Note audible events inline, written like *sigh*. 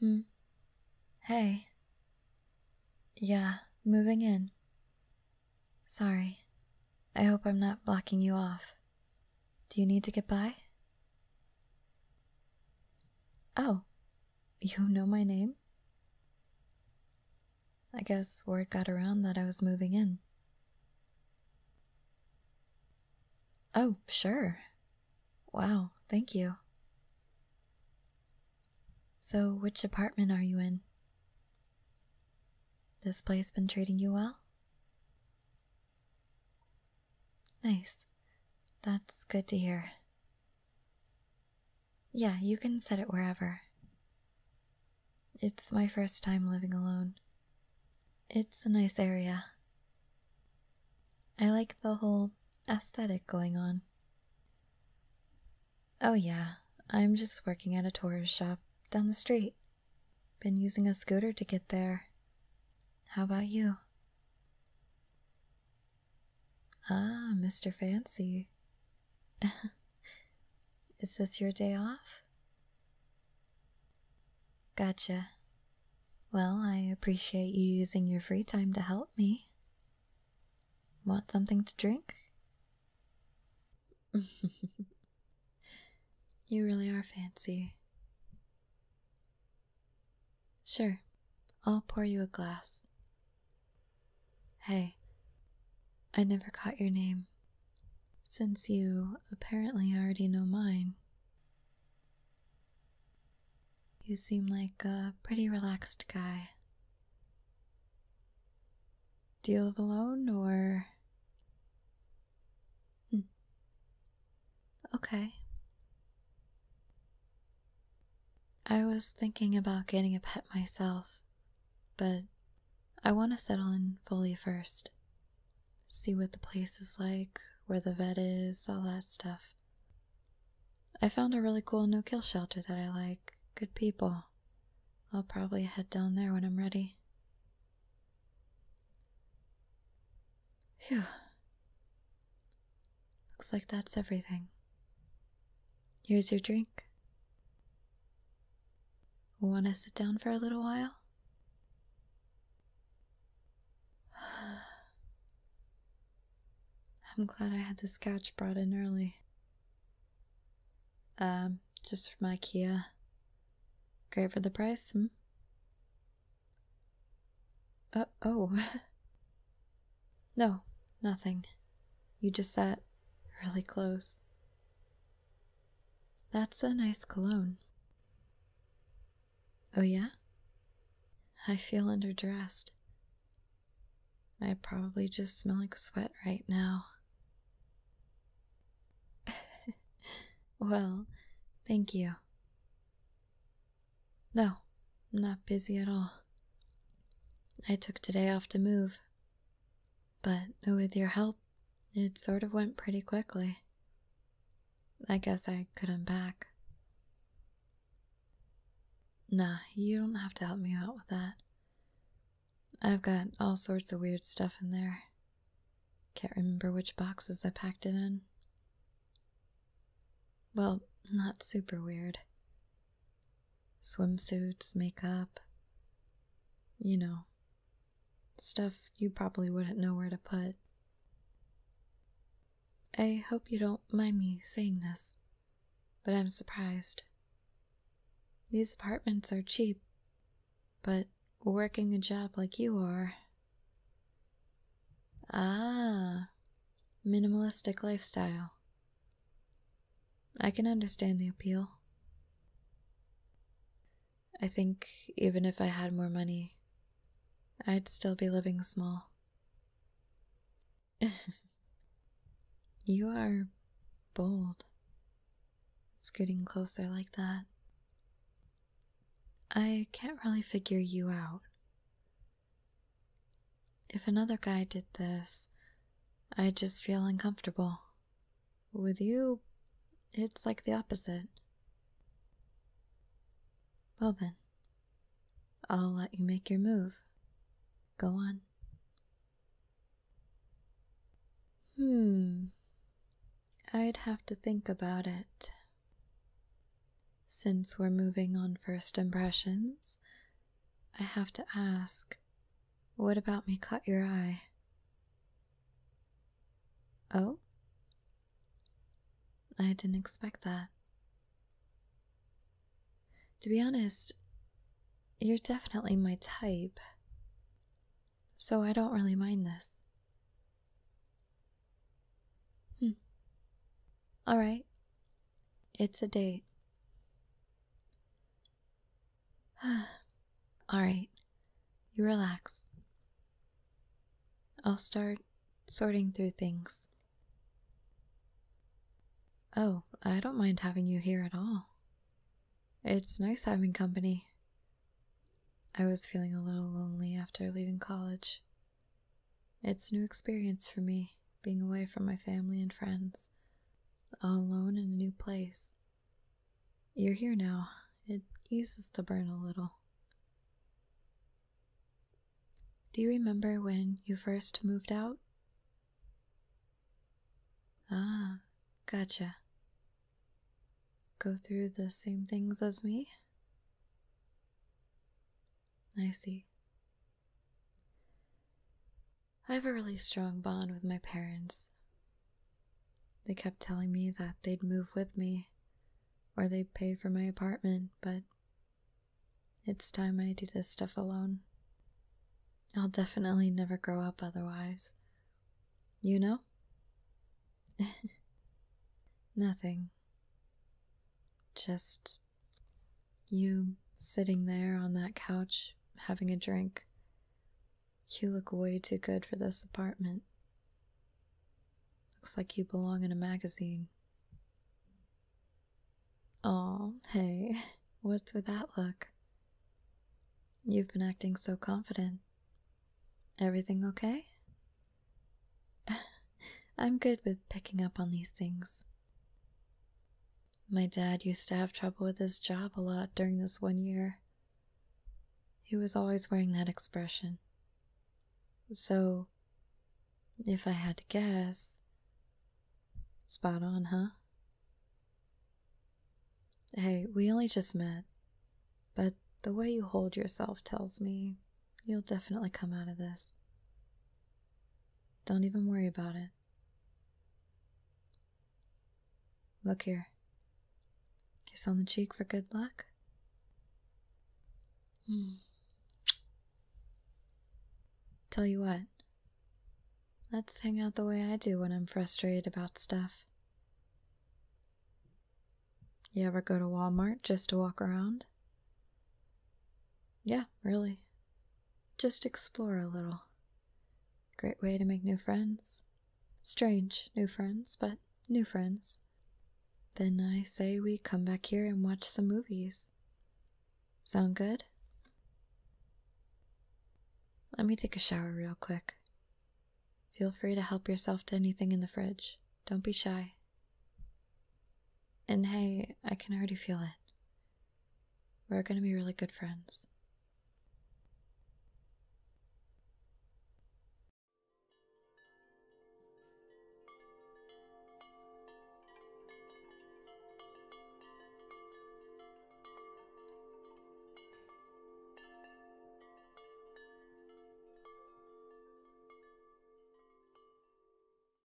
Hmm. Hey. Yeah, moving in. Sorry. I hope I'm not blocking you off. Do you need to get by? Oh, you know my name? I guess word got around that I was moving in. Oh, sure. Wow, thank you. So, which apartment are you in? This place been treating you well? Nice. That's good to hear. Yeah, you can set it wherever. It's my first time living alone. It's a nice area. I like the whole aesthetic going on. Oh, yeah, I'm just working at a tourist shop down the street. Been using a scooter to get there. How about you? Ah, Mr. Fancy. *laughs* Is this your day off? Gotcha. Well, I appreciate you using your free time to help me. Want something to drink? *laughs* you really are fancy. Sure, I'll pour you a glass. Hey, I never caught your name, since you apparently already know mine. You seem like a pretty relaxed guy. Deal of alone or. Hmm. Okay. I was thinking about getting a pet myself, but I want to settle in fully first. See what the place is like, where the vet is, all that stuff. I found a really cool no kill shelter that I like, good people. I'll probably head down there when I'm ready. Phew. Looks like that's everything. Here's your drink. Want to sit down for a little while? *sighs* I'm glad I had this scotch brought in early. Um, just from IKEA. Great for the price, hmm? uh, oh. *laughs* No, nothing. You just sat really close. That's a nice cologne. Oh, yeah? I feel underdressed. I probably just smell like sweat right now. *laughs* well, thank you. No, not busy at all. I took today off to move. But with your help, it sort of went pretty quickly. I guess I could unpack. Nah, you don't have to help me out with that. I've got all sorts of weird stuff in there. Can't remember which boxes I packed it in. Well, not super weird swimsuits, makeup, you know, stuff you probably wouldn't know where to put. I hope you don't mind me saying this, but I'm surprised. These apartments are cheap, but working a job like you are. Ah, minimalistic lifestyle. I can understand the appeal. I think even if I had more money, I'd still be living small. *laughs* you are bold, scooting closer like that. I can't really figure you out. If another guy did this, I'd just feel uncomfortable. With you, it's like the opposite. Well then, I'll let you make your move. Go on. Hmm. I'd have to think about it. Since we're moving on first impressions, I have to ask, what about me caught your eye? Oh? I didn't expect that. To be honest, you're definitely my type, so I don't really mind this. Hmm. Alright, it's a date. *sighs* All right, you relax. I'll start sorting through things. Oh, I don't mind having you here at all. It's nice having company. I was feeling a little lonely after leaving college. It's a new experience for me being away from my family and friends, all alone in a new place. You're here now. It eases the burn a little. Do you remember when you first moved out? Ah, gotcha. Go through the same things as me? I see. I have a really strong bond with my parents. They kept telling me that they'd move with me or they paid for my apartment, but it's time I do this stuff alone. I'll definitely never grow up otherwise. You know? *laughs* Nothing. Just you sitting there on that couch having a drink. You look way too good for this apartment. Looks like you belong in a magazine. Oh, hey, *laughs* what's with that look? You've been acting so confident. Everything okay? *laughs* I'm good with picking up on these things. My dad used to have trouble with his job a lot during this one year. He was always wearing that expression. So, if I had to guess, spot on, huh? Hey, we only just met, but the way you hold yourself tells me you'll definitely come out of this. Don't even worry about it. Look here. Kiss on the cheek for good luck. Hmm. Tell you what, let's hang out the way I do when I'm frustrated about stuff. You ever go to Walmart just to walk around? Yeah, really. Just explore a little. Great way to make new friends. Strange new friends, but new friends. Then I say we come back here and watch some movies. Sound good? Let me take a shower real quick. Feel free to help yourself to anything in the fridge. Don't be shy. And hey, I can already feel it. We're gonna be really good friends.